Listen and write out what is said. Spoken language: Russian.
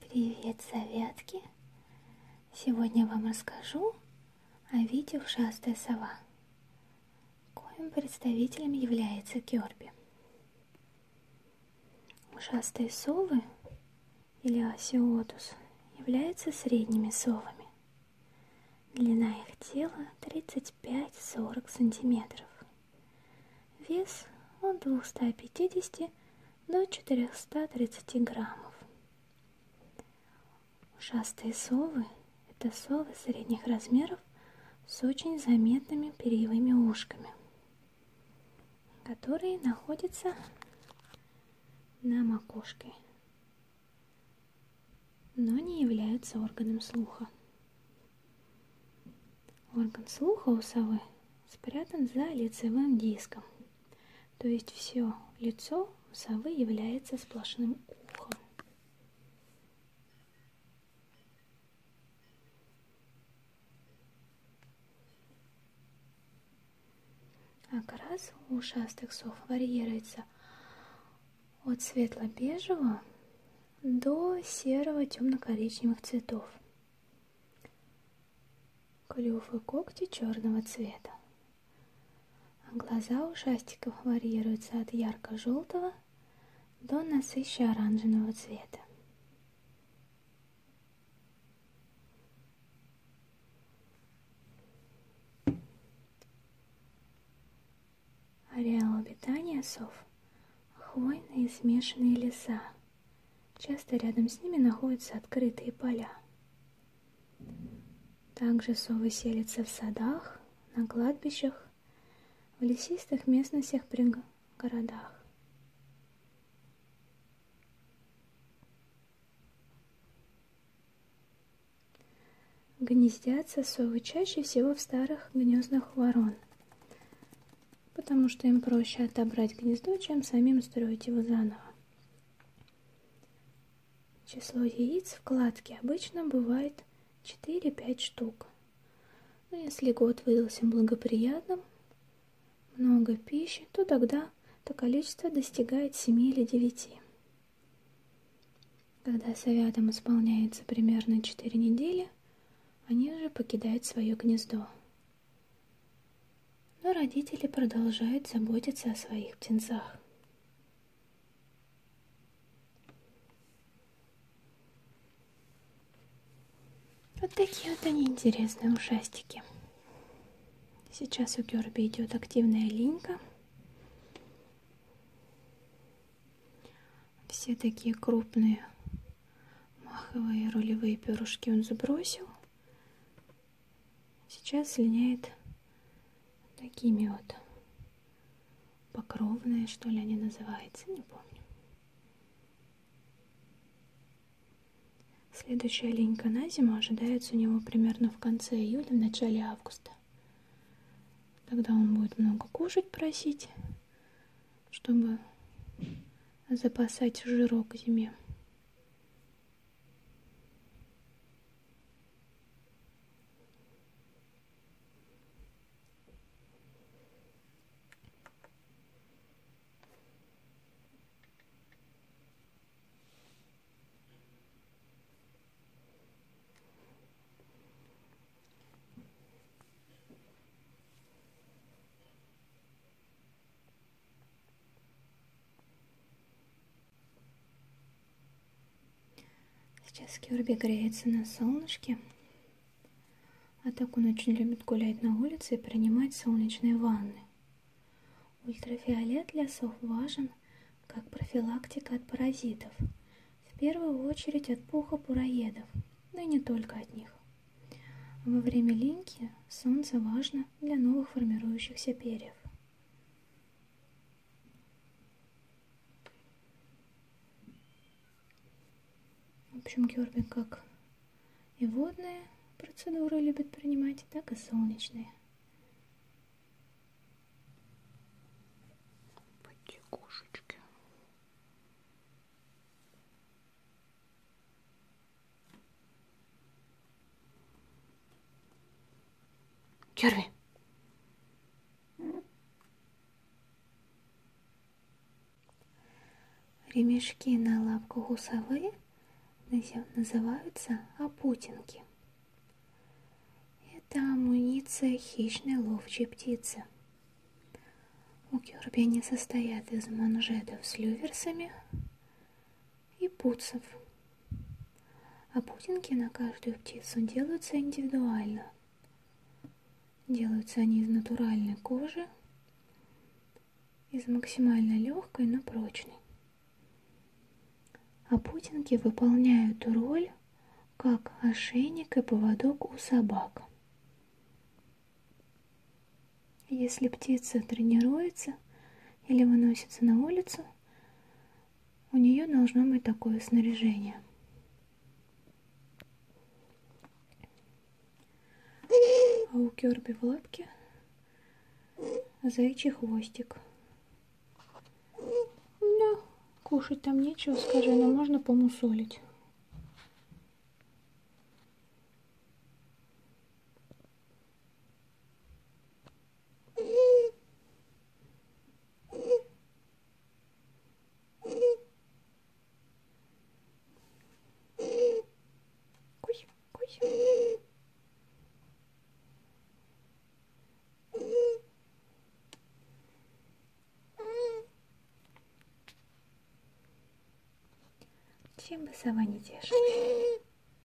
Привет, советки! Сегодня вам расскажу о виде «Ушастая сова», коим представителем является Керби. Ушастые совы, или осиотус, являются средними совами. Длина их тела 35-40 сантиметров. Вес от 250 до 430 граммов. Ушастые совы – это совы средних размеров с очень заметными перьевыми ушками, которые находятся на макушке, но не являются органом слуха. Орган слуха у совы спрятан за лицевым диском, то есть все лицо у совы является сплошным ухом. Окрас а у ушастых сов варьируется от светло-бежевого до серого темно-коричневых цветов. Клюв и когти черного цвета. А глаза у шастиков варьируются от ярко-желтого до насыщенно-оранжевого цвета. Ареал обитания сов – хвойные и смешанные леса. Часто рядом с ними находятся открытые поля. Также совы селятся в садах, на кладбищах, в лесистых местностях при городах. Гнездятся совы чаще всего в старых гнездах ворон, потому что им проще отобрать гнездо, чем самим строить его заново. Число яиц в кладке обычно бывает 4-5 штук. Но ну, если год выдался благоприятным, много пищи, то тогда то количество достигает 7 или 9. Когда совятам исполняется примерно 4 недели, они же покидают свое гнездо. Но родители продолжают заботиться о своих птенцах. Вот такие вот они интересные ушастики. Сейчас у Керби идет активная линька. Все такие крупные маховые рулевые перышки он забросил. Сейчас линяет такими вот покровные, что ли они называются, не помню. Следующая линька на зиму ожидается у него примерно в конце июля, в начале августа. Тогда он будет много кушать просить, чтобы запасать жирок к зиме. Сейчас Кирби греется на солнышке. А так он очень любит гулять на улице и принимать солнечные ванны. Ультрафиолет лесов важен как профилактика от паразитов, в первую очередь от пуха буроедов, но и не только от них. Во время линьки солнце важно для новых формирующихся перьев. В общем, Георгий как и водные процедуры любит принимать, так и солнечные. Потекушечки. Георгий. Ремешки на лапку гусовы называются опутинки. Это амуниция хищной ловчей птицы. У кюрби они состоят из манжетов с люверсами и пуцев. А путинки на каждую птицу делаются индивидуально – Делаются они из натуральной кожи, из максимально легкой, но прочной. А путинки выполняют роль как ошейник и поводок у собак. Если птица тренируется или выносится на улицу, у нее должно быть такое снаряжение. А у Керби в лапке заячий хвостик. Ну, кушать там нечего, скажи, но можно помусолить. Чем вы сова не тешите?